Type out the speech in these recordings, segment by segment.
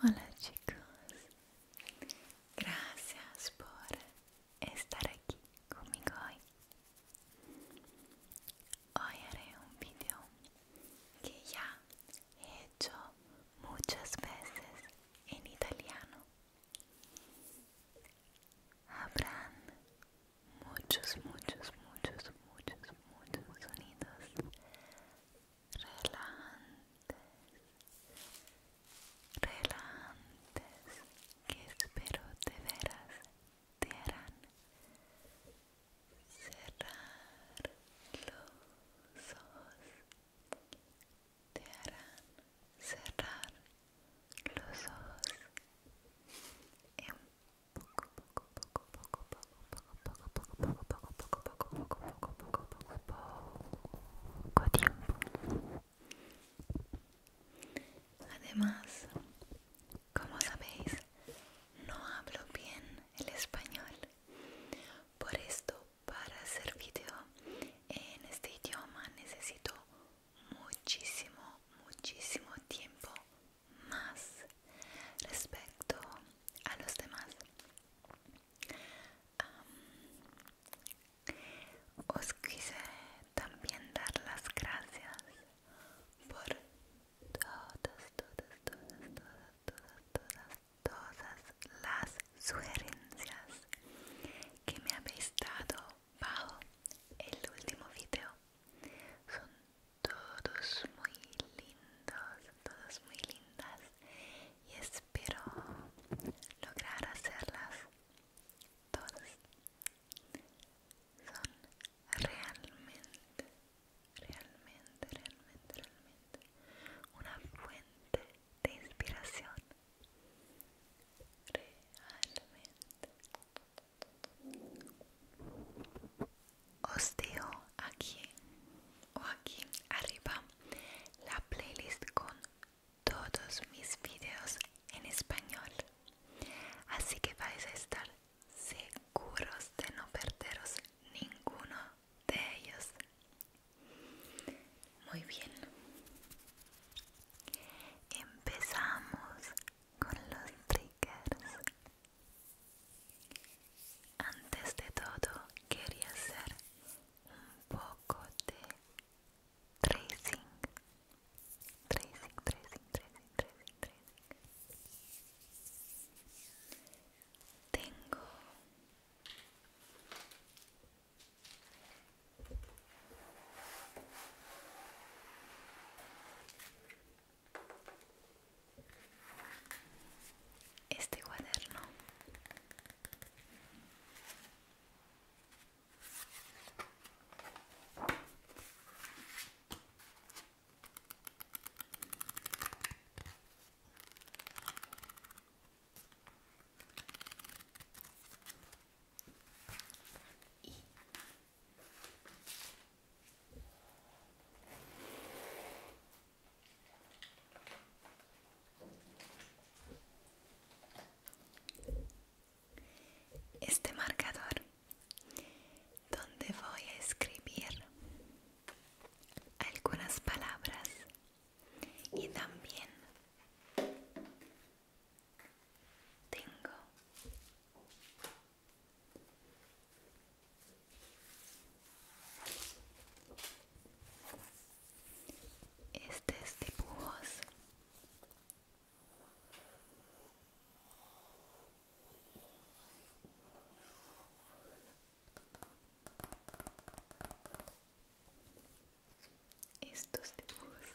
Hola chicos, gracias por estar aquí conmigo hoy. Hoy haré un video que ya he hecho muchas veces en italiano Habrán muchos, muchos, muchos, muchos, muchos sonidos relantes relantes que espero de veras te harán cerrar los ojos te harán cerrar los ojos en poco poco poco poco poco poco poco poco poco poco poco poco poco tiempo además como sabéis no hablo bien el español por esto para hacer video en este idioma necesito muchísimo muchísimo tiempo más respecto a los demás os quise también dar las gracias por todas todas todas todas todas todas todas las sugerencias que me habéis dado bajo el último video son todos muy lindos todos muy lindas y espero lograr hacerlas todas son realmente realmente realmente realmente una fuente de inspiración realmente os dejo aquí o aquí arriba la playlist con todos mis vídeos en español así que vais a estar seguros de no perderos ninguno de ellos muy bien. Empezamos con los triggers. Antes de todo, quería hacer un poco de tracing. Tracing, tracing, tracing, tracing, tracing. Tengo este cuaderno este marcador donde voy a escribir algunas palabras y también tengo estos dibujos estos dibujos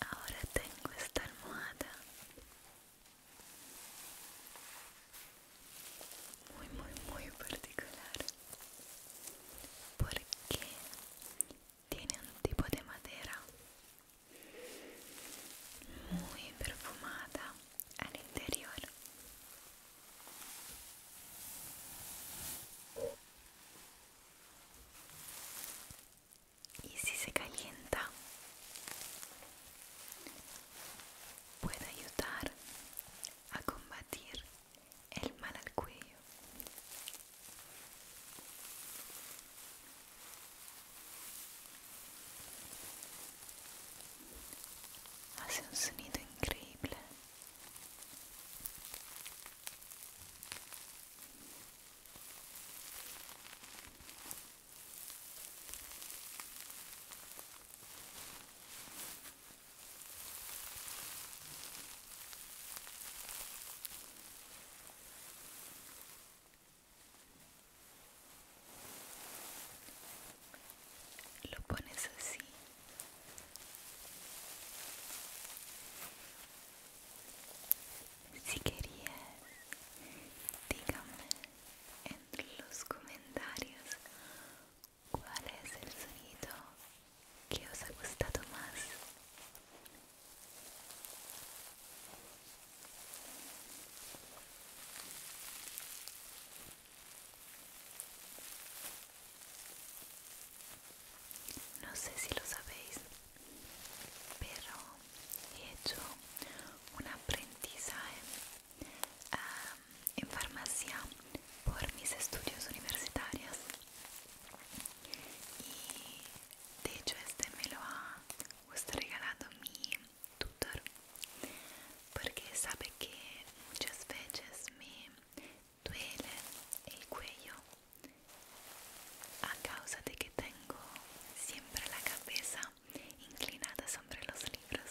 Ahora tengo esta almohada muy muy muy particular ¿por qué? tiene un tipo de madera muy perfumada al interior. Y si se calienta, puede ayudar a combatir el mal al cuello Hace ah, un sonido increíble. lo pones así si querías dígame en los comentarios cuál es el sonido que os ha gustado más no sé si lo sabéis, pero he hecho una aprendizaje ah, en farmacia por mis estudios universitarios y de hecho este me lo ha os regalado mi tutor porque sabe que muchas veces me duele el cuello a causa de que tengo siempre la cabeza inclinada sobre los libros.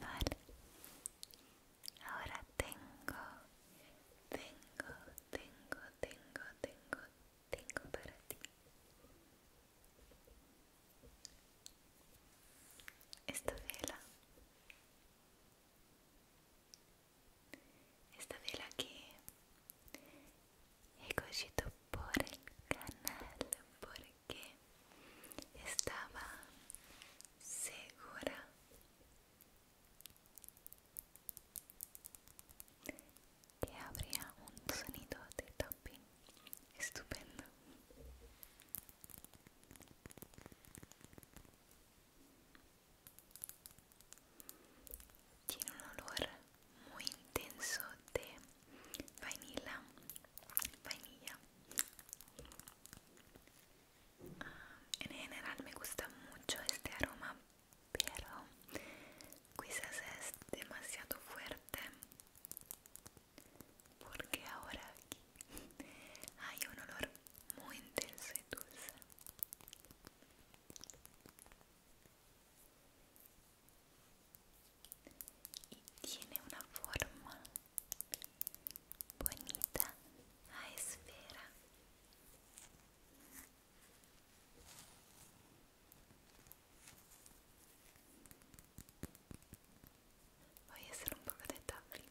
Vale, ahora tengo, tengo, tengo, tengo, tengo, tengo para ti. Esta vela esta vela que he cogido por el canal porque estaba segura que habría un sonido de topping estupendo tiene un olor muy intenso de vainilla. vainilla. Ah, en general me gusta mucho este aroma, pero quizás es demasiado fuerte porque ahora aquí hay un olor muy intenso y dulce y tiene una forma bonita a esfera voy a hacer un poco de tapping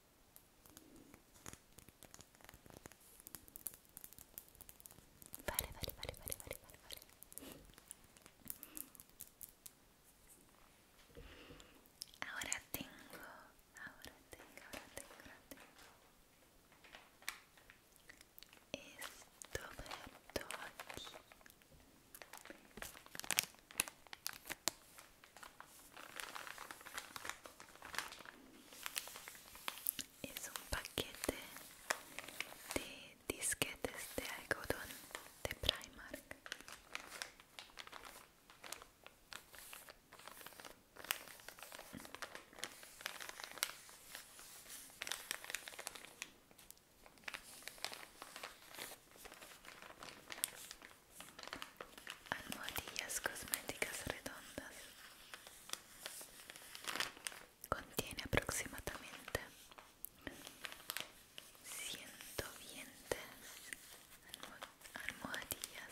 Vale, vale, vale, vale, vale, vale, vale. Ahora tengo, ahora tengo, ahora tengo, ahora tengo. Esto para aquí. Es un paquete de disquetes de algodón de Primark. Almohadillas cosméticas redondas. Contiene aproximadamente 120 almohadillas.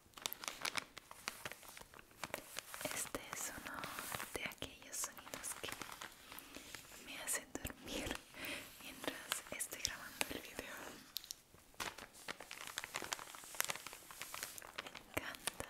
Este es uno de aquellos sonidos que me hacen dormir mientras estoy grabando el video. Me encanta.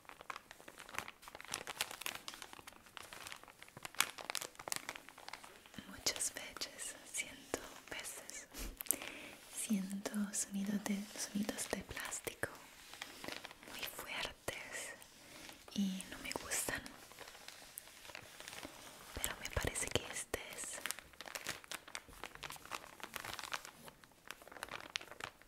Muchas veces, siento veces, siento sonidos de, sonidos de plástico muy fuertes y no me gustan. Pero me parece que este es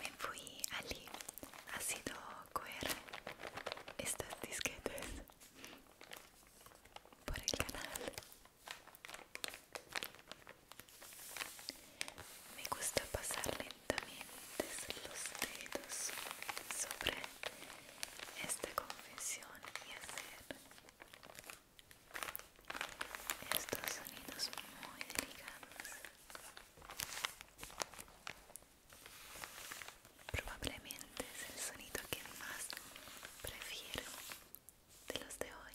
me fui allí ha sido coger estas disquetes por el canal me gusta pasar lentamente los dedos sobre esta confesión y hacer estos sonidos muy delicados Probablemente es el sonido que más prefiero de los de hoy.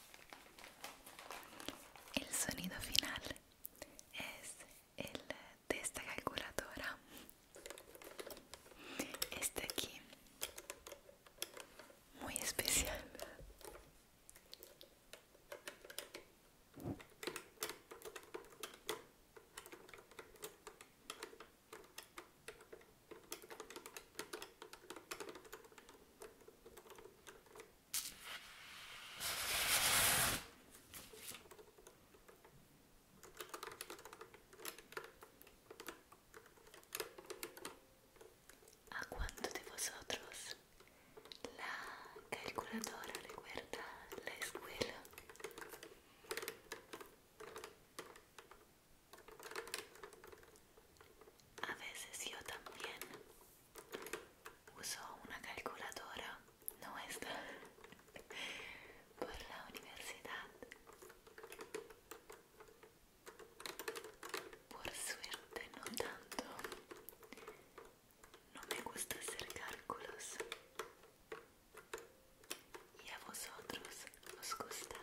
El sonido final es el de esta calculadora. Este aquí, muy especial. ¿A cuánto de vosotros la calculadora recuerda la escuela? A veces yo también uso una calculadora no es por la universidad. Por suerte no tanto. No me gusta hacer cálculos. ¿Y a vosotros os gusta?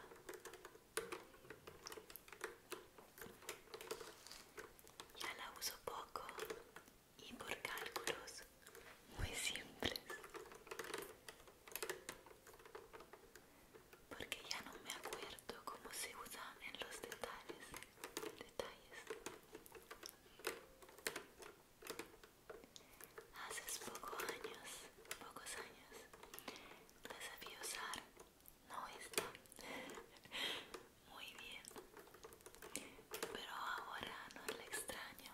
Ya la uso poco y por cálculos muy simples. Porque ya no me acuerdo cómo se usa en los detalles. detalles. Hace pocos años, pocos años, la sabía usar no está muy bien pero ahora no le extraño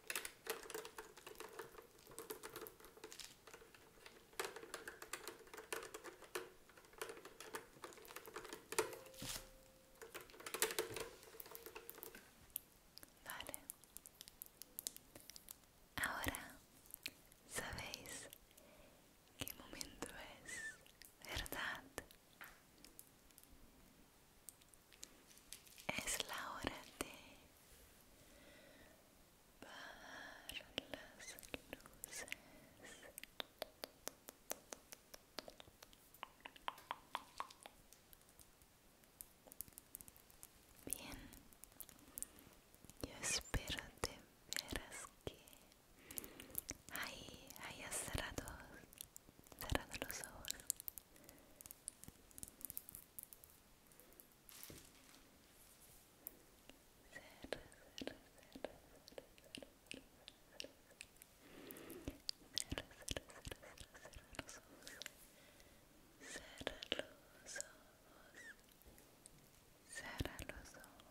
Ahora sabéis qué momento es, ¿verdad? es la hora de bajar las luces. Bien, yo espero de veras que ahí hayas cerrado, cerrado los ojos los ojos. Cierra los ojos. Cierra los ojos.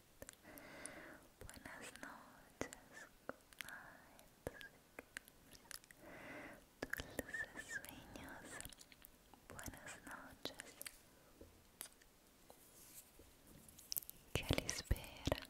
Buenas noches, buenas noches, Dulces sueños. Buenas noches. ¿Qué les espera?